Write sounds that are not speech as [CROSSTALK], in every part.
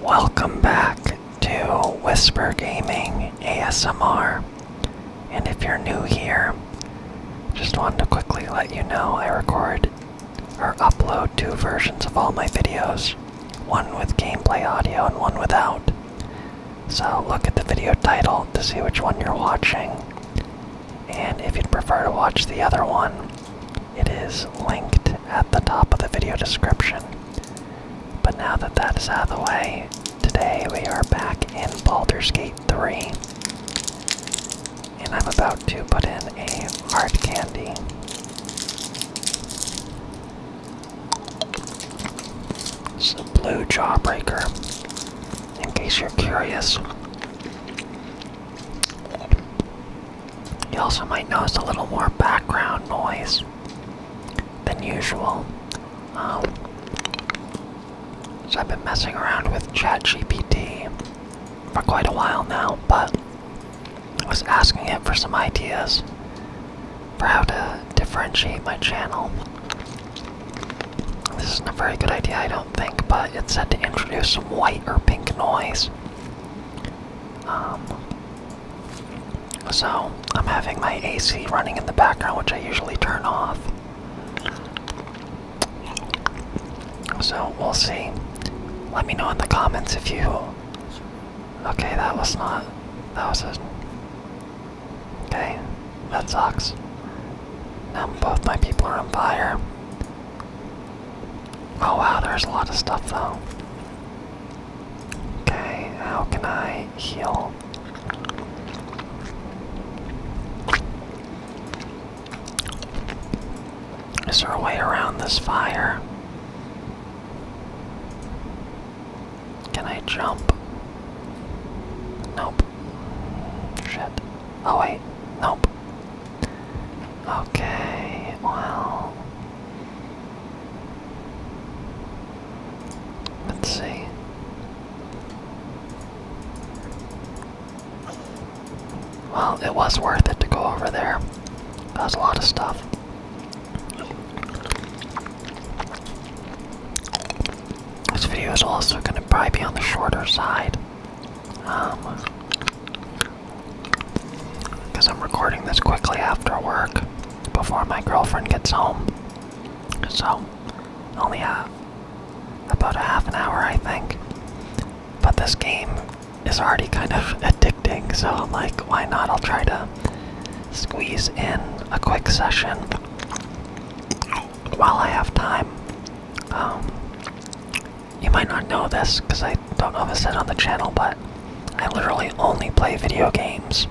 Welcome back to Whisper Gaming ASMR. And if you're new here, just wanted to quickly let you know I record or upload two versions of all my videos one with gameplay audio and one without. So look at the video title to see which one you're watching. And if you'd prefer to watch the other one, it is linked at the top of the video description. But now that that is out of the way, today we are back in Baldur's Gate 3. And I'm about to put in a hard candy. It's a blue jawbreaker, in case you're curious. You also might notice a little more background noise than usual. Um, so I've been messing around with ChatGPT for quite a while now, but I was asking it for some ideas for how to differentiate my channel. This isn't a very good idea, I don't think, but it said to introduce some white or pink noise um, so I'm having my AC running in the background, which I usually turn off. So we'll see. Let me know in the comments if you. Okay, that was not. That was a. Okay, that sucks. Now both my people are on fire. Oh wow, there's a lot of stuff though. Okay, how can I heal? Is there a way around this fire? Can I jump? Nope. Shit. Oh wait. Nope. Okay, well. Let's see. Well, it was worth it to go over there. That was a lot of stuff. This video is also going to probably be on the shorter side. Um, because I'm recording this quickly after work, before my girlfriend gets home. So, only have about a half an hour, I think. But this game is already kind of [LAUGHS] addicting, so I'm like, why not? I'll try to squeeze in a quick session while I have time. Um, you might not know this because I don't know if I said on the channel, but I literally only play video games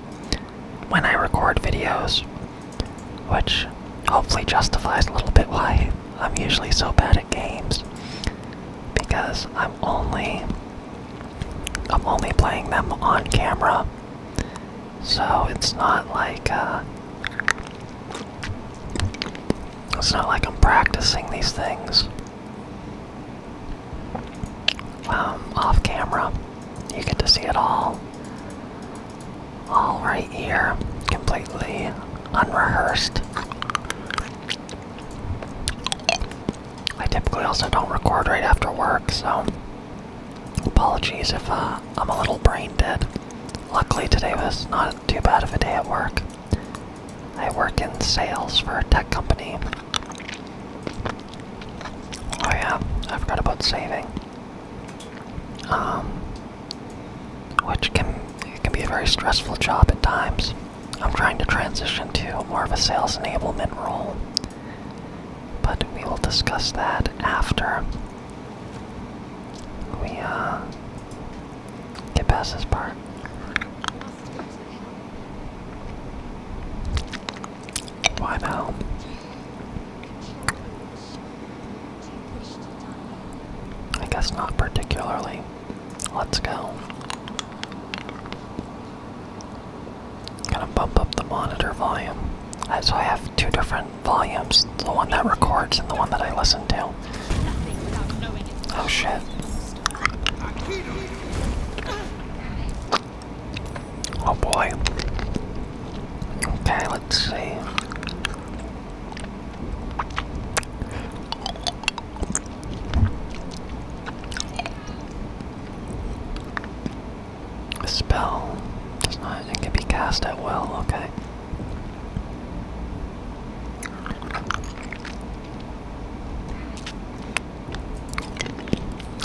when I record videos, which hopefully justifies a little bit why I'm usually so bad at games because I'm only I'm only playing them on camera. So it's not like uh, it's not like I'm practicing these things. Um, off camera. You get to see it all, all right here, completely unrehearsed. I typically also don't record right after work, so apologies if uh, I'm a little brain dead. Luckily today was not too bad of a day at work. I work in sales for a tech company. Oh yeah, I forgot about saving. Um, which can it can be a very stressful job at times. I'm trying to transition to more of a sales enablement role, but we will discuss that after. We uh, Get past this part. Why now? I guess not particularly. Let's go. Gonna bump up the monitor volume. Uh, I have two different volumes the one that records and the one that I listen to. Oh shit. Oh boy. Okay, let's see. A spell does not it can be cast at will, okay.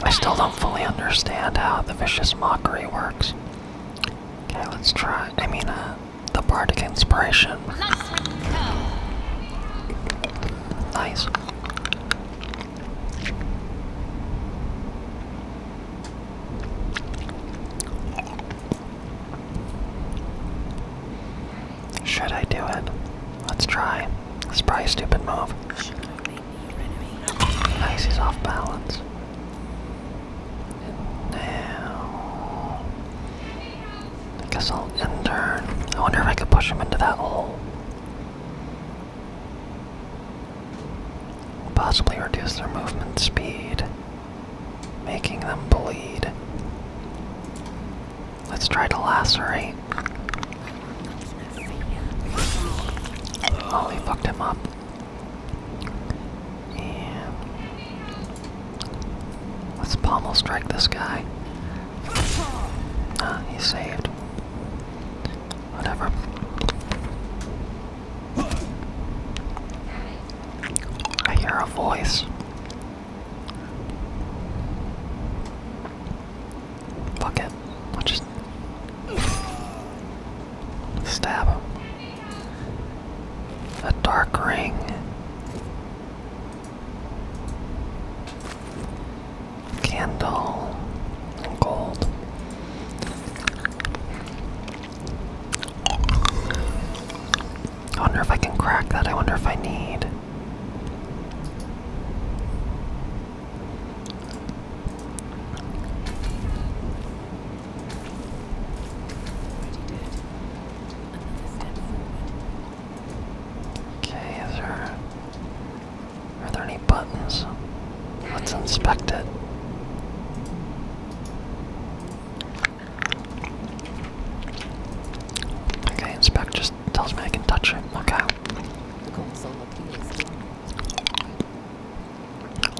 I still don't fully understand how the vicious mockery works. Okay, let's try. I mean, uh, the bardic inspiration. Nice. Should I do it? Let's try. It's probably a stupid move. Nice, he's off balance. Now, I guess I'll enter. I wonder if I could push him into that hole. Possibly reduce their movement speed making them bleed. Let's try to lacerate. Oh, he fucked him up. And let's palm strike this guy. Ah, he's saved. Whatever. I hear a voice. Fuck it. I'll just stab him. A dark ring. Candle. Gold. I wonder if I can crack that. I wonder if I need. Okay, is there are there any buttons? Let's inspect it. Okay, inspect just tells me I can touch it. Okay.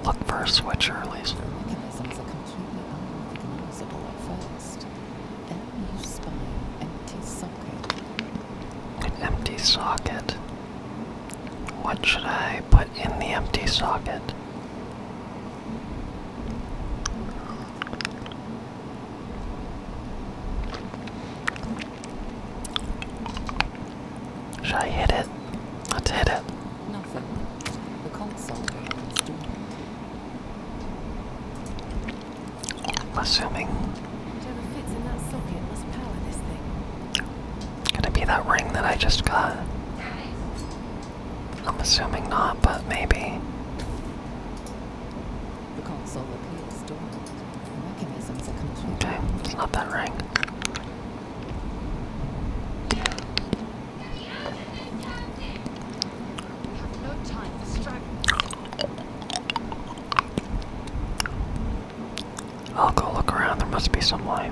Look for a switcher, at least. Mechanisms are completely unrecognizable at first. empty socket. An empty socket. What should I put in the empty socket? Should I hit it? Let's hit it. Nothing. The console I'm assuming. Whatever fits in that socket must power this thing. Gonna be that ring that I just got. I'm assuming not, but maybe. The console appears dormant. The mechanisms are complete. Okay, it's not that ring. I'll go look around. There must be some way.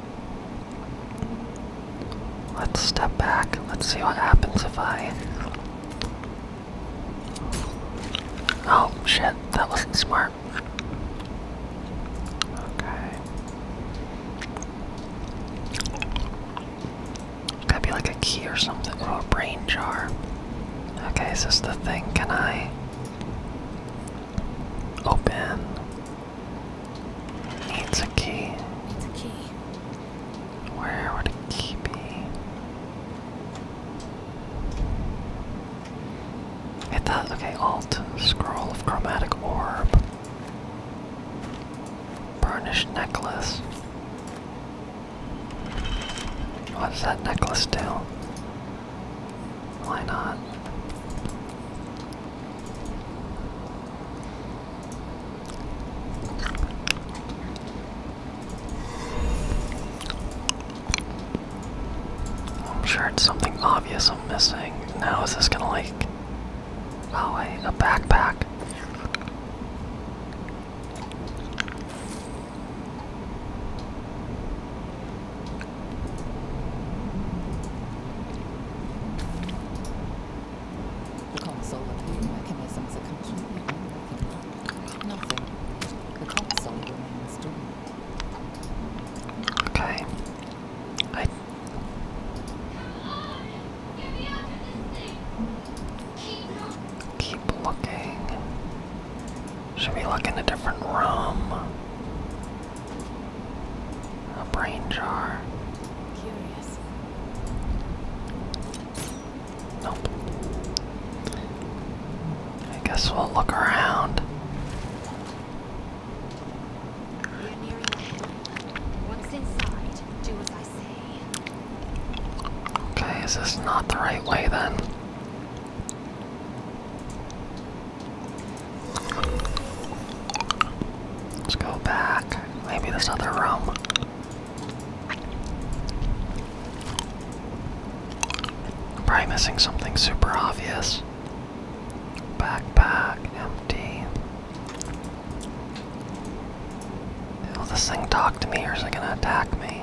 Let's step back. Let's see what happens if I. Oh shit, that wasn't smart. Okay. Gotta be like a key or something. Oh, a brain jar. Okay, is this the thing? Can I open? Needs a key. Needs a key. Where would a key be? I that. okay, alt, scroll of chromatic orb, burnished necklace. What does that necklace do? Why not? I'm sure it's something obvious I'm missing. Now is this gonna like oh wait, a backpack. The console appearing mechanisms are completely unworking. Nothing. The console remains dormant. Okay. I Keep looking. Should we look a different room? A brain jar. Curious. Nope. I guess we'll look around. Okay, is this not the right way then? Let's go back. Maybe this other room. I'm probably missing something super obvious. Backpack, empty. Will this thing talk to me or is it gonna attack me?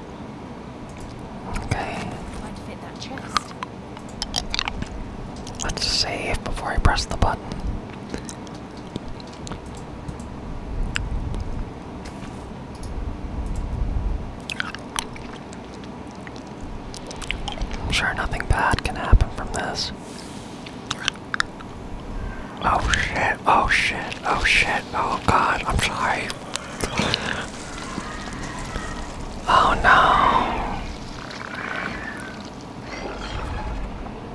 Okay. Let's save before I press the button. I'm sure nothing bad can happen from this. Oh shit, oh shit, oh shit, oh god, I'm sorry. Oh no.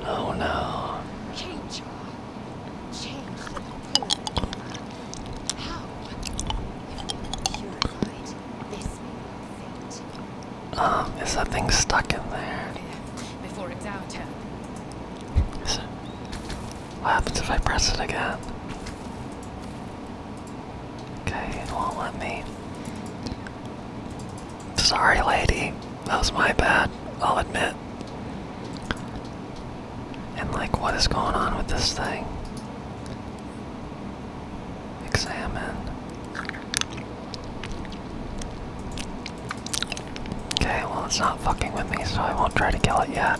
Oh no. Change. the pool. How? If is that thing stuck in there? Before it's our what happens if I press it again? Okay, it won't let me. Sorry, lady. That was my bad, I'll admit. And, like, what is going on with this thing? Examine. Okay, well, it's not fucking with me, so I won't try to kill it yet.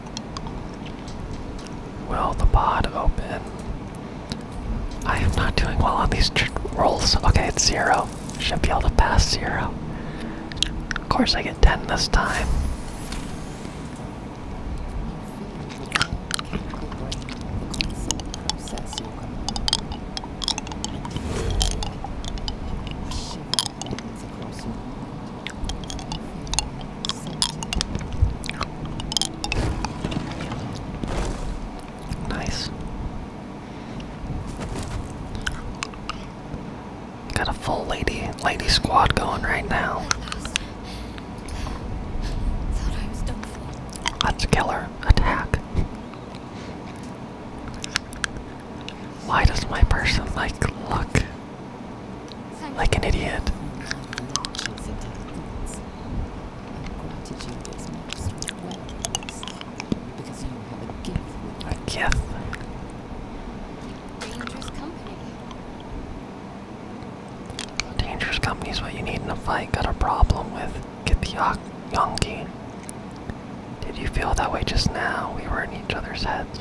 Will the pod open? I am not doing well on these rolls. Okay, it's zero. Should be able to pass zero. Of course, I get 10 this time. Nice. Got a full lady lady squad going right now. Let's Attack. Why does my person like luck? like an idiot. A gift. Dangerous company. what you need in a fight. Got a problem with? Get the yonki. Did you feel that way just now? We were in each other's heads.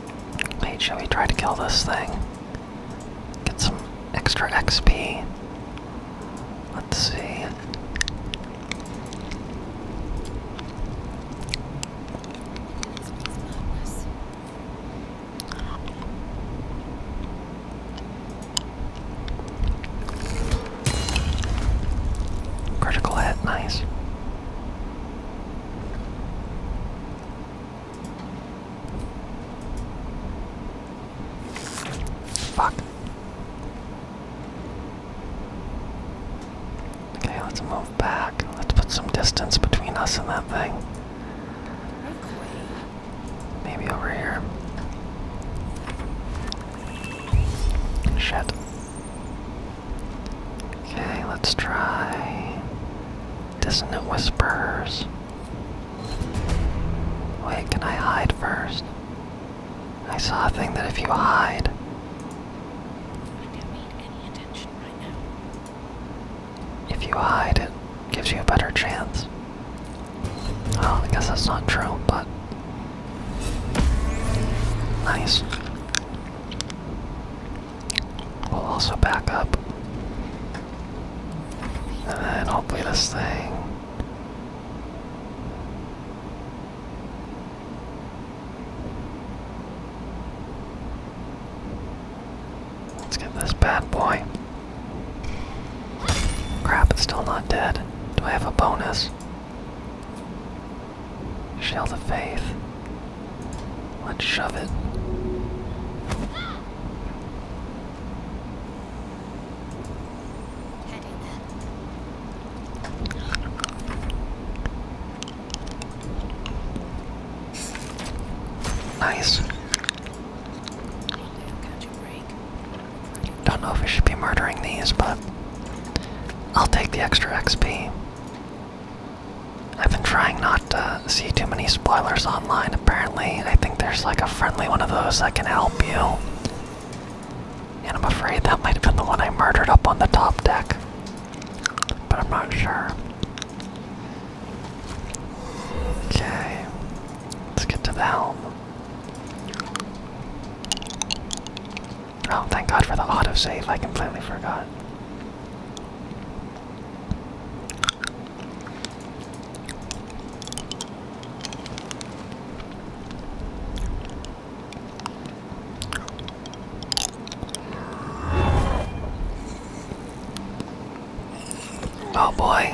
Wait, shall we try to kill this thing? Get some extra XP. Let's see. Critical hit, nice. Okay, let's move back. Let's put some distance between us and that thing. Maybe over here. Shit. Okay, let's try Dissonant Whispers. Wait, can I hide first? I saw a thing that if you hide. If you hide, it gives you a better chance. Well, oh, I guess that's not true, but. Nice. We'll also back up. And then hopefully this thing. Let's get this bad boy. Crap, it's still not dead. Do I have a bonus? Shield the Faith. Let's shove it. Nice. Don't know if we should be murdering these, but I'll take the extra XP. I've been trying not to see too many spoilers online. Apparently, I think there's like a friendly one of those that can help you. And I'm afraid that might have been the one I murdered up on the top deck. But I'm not sure. Okay, let's get to the helm. Oh, thank God for the auto save! I completely forgot. Oh boy.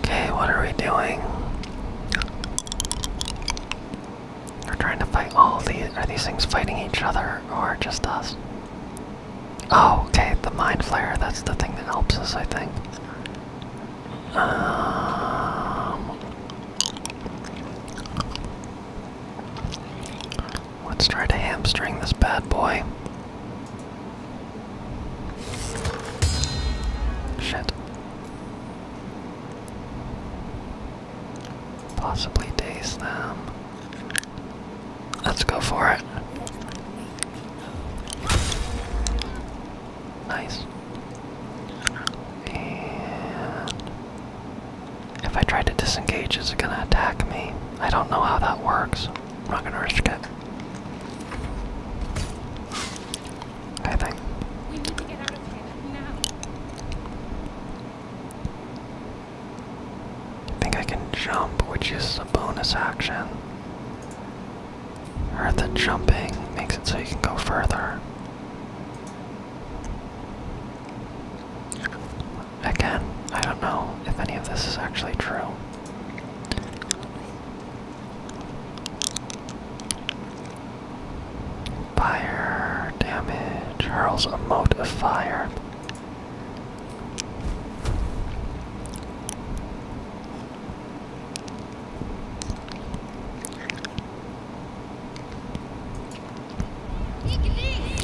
Okay, what are we doing? We're trying to fight all these. Are these things fighting each other or just us? Oh, okay, the mind flare. That's the thing that helps us, I think. Um, let's try to hamstring this bad boy. Shit. Possibly daze them. Let's go for it. Nice. And if I try to disengage, is it gonna attack me? I don't know how that works. I'm not gonna risk it. I think. We think I can jump, which is a bonus action. Or the jumping makes it so you can go further. Again, I don't know if any of this is actually true. Fire damage hurls a mote of fire.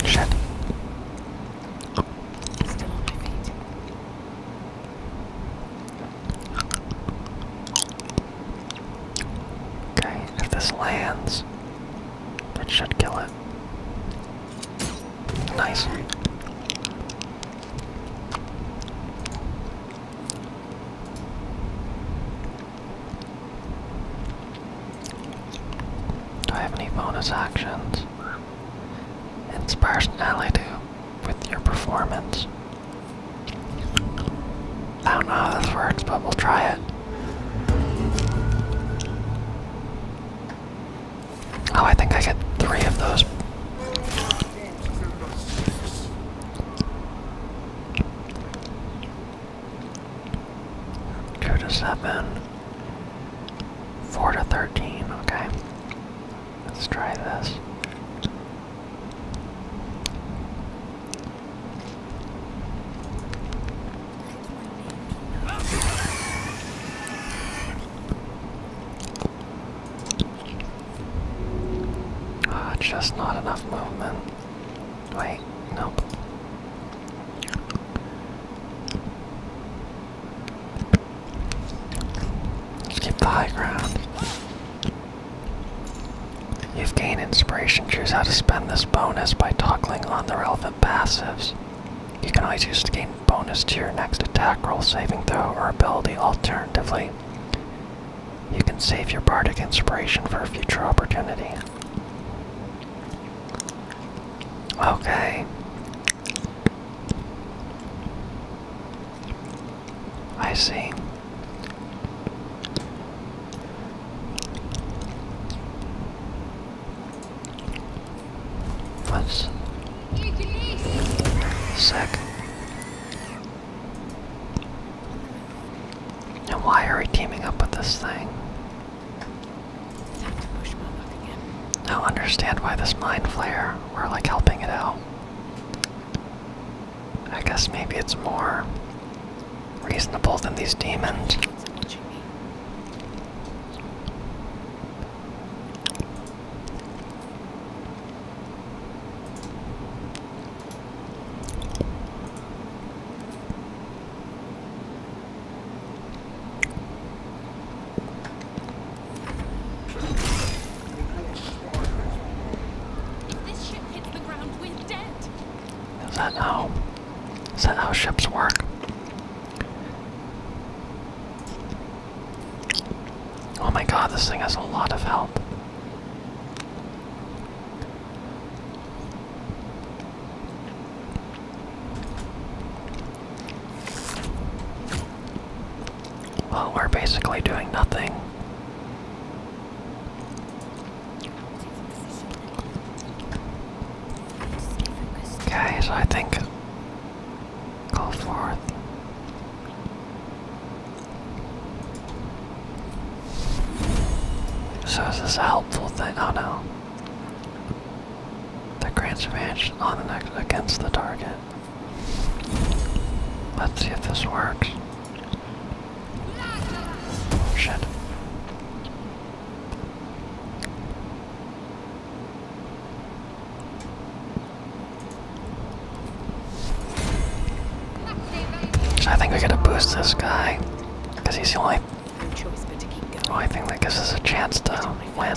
Shit. Okay, if this lands, it should kill it. Nice. Do I have any bonus actions? It's personality with your performance. I don't know how this works, but we'll try it. Oh, I think I get three of those. Two to seven. Four to thirteen, okay. Let's try this. Ah, just not enough movement. Wait, nope. Keep the high ground. You've gained inspiration. Choose how to spend this bonus by toggling on the relevant passives. You can always use to gain bonus to your next attack roll, saving throw, or ability. Alternatively, you can save your bardic inspiration for a future opportunity. Okay, I see. What's sick? And why are we teaming up with this thing? I understand why this mind flare we're like helping it out. I guess maybe it's more reasonable than these demons. Is that how? Is that how ships work? Oh my god, this thing has a lot of help. Well, we're basically doing nothing. Okay, so I think go forth. So is this a helpful thing? Oh no. The grants advantage on the next against the target. Let's see if this works. shit. I think we gotta boost this guy, because he's the only, only thing that gives us a chance to win.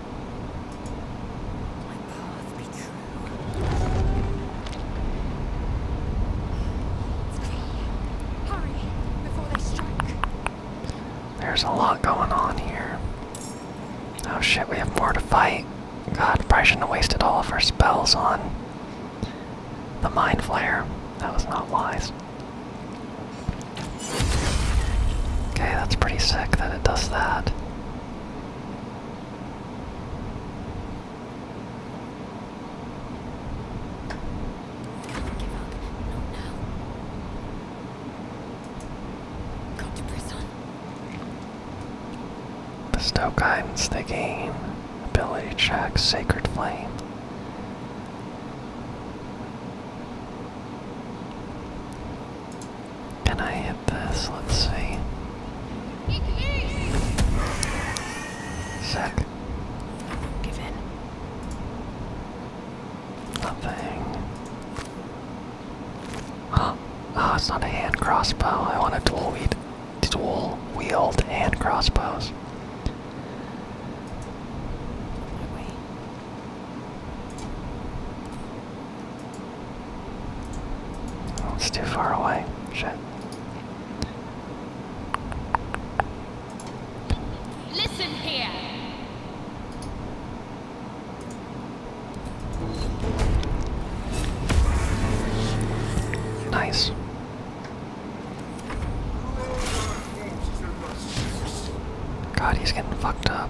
There's a lot going on here. Oh shit, we have more to fight. God, probably shouldn't have wasted all of her spells on the Mind Flare. That was not wise. Okay, that's pretty sick that it does that. The Stoke Islands, they gain ability check, Sacred Flame. Can I hit this? Let's see. Sick. Give in. Nothing. Huh. Oh, it's not a hand crossbow. I want a dual wheat dual wield hand crossbows it's too far away. Shit. Listen here. Nice. God, he's getting fucked up.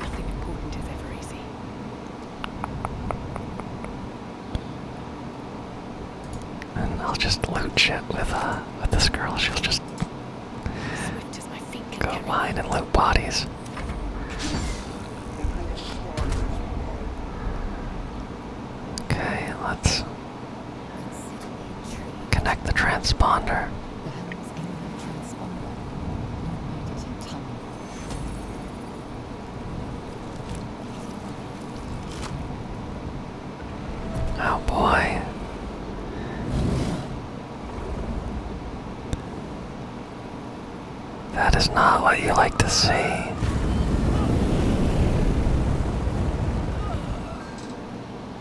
Nothing important is ever easy. And I'll just loot shit with uh with this girl. She'll just go mine and loot bodies. Okay, let's Connect the transponder. Oh boy. That is not what you like to see.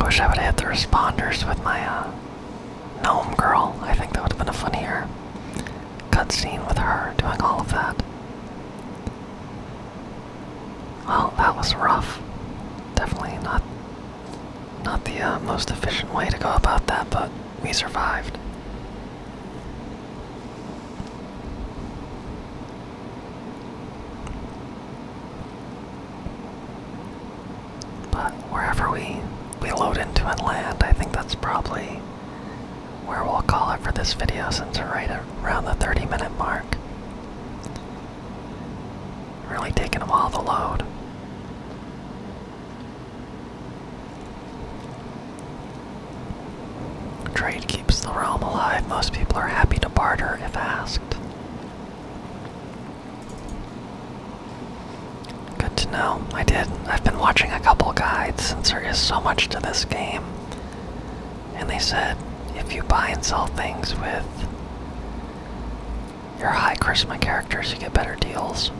I wish I would have hit the responders with my uh, gnome girl. I think that would have been a funnier cutscene with her doing all of that. Well, that was rough. Definitely not not the uh, most efficient way to go about that, but we survived. But wherever we we load into and land, I think that's probably where we'll call it for this video since we're right around the 30 minute mark. Really taking them all the load. Trade keeps the realm alive. Most people are happy to barter if asked. Good to know. I did. I've been watching a couple guides since there is so much to this game. And they said if you buy and sell things with you your high charisma characters, you get better deals.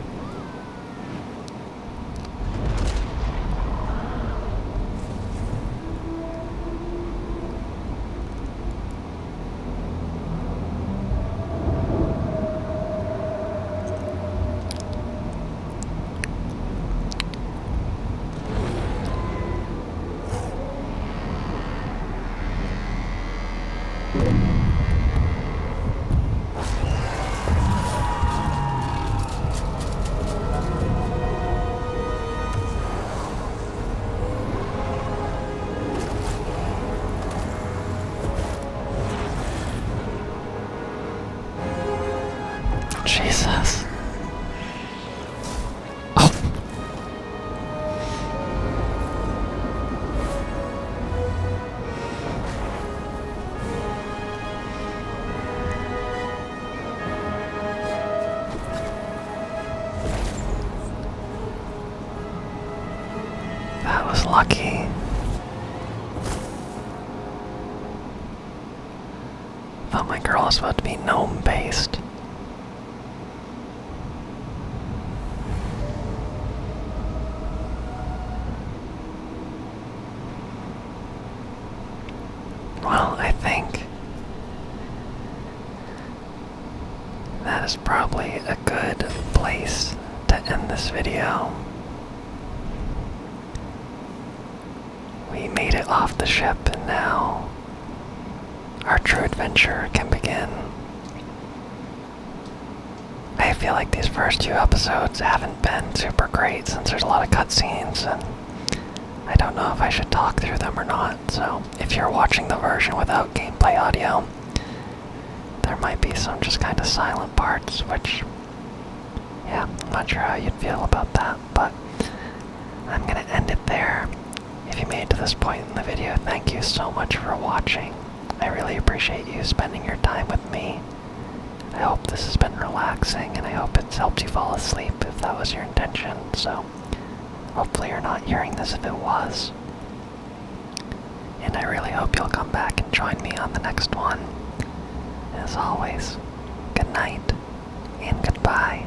Jesus. Oh. That was lucky. Thought my girl was about to be gnome based. Well, I think that is probably a good place to end this video. We made it off the ship, and now our true adventure can begin. I feel like these first few episodes haven't been super great since there's a lot of cutscenes, and I don't know if I should talk through them or not. So, if you're watching the version without gameplay audio, there might be some just kind of silent parts, which, yeah, I'm not sure how you'd feel about that, but I'm gonna end it there. If you made it to this point in the video, thank you so much for watching. I really appreciate you spending your time with me. I hope this has been relaxing and I hope it's helped you fall asleep if that was your intention. So, hopefully, you're not hearing this if it was. And I really hope you'll come back and join me on the next one. As always, good night and goodbye.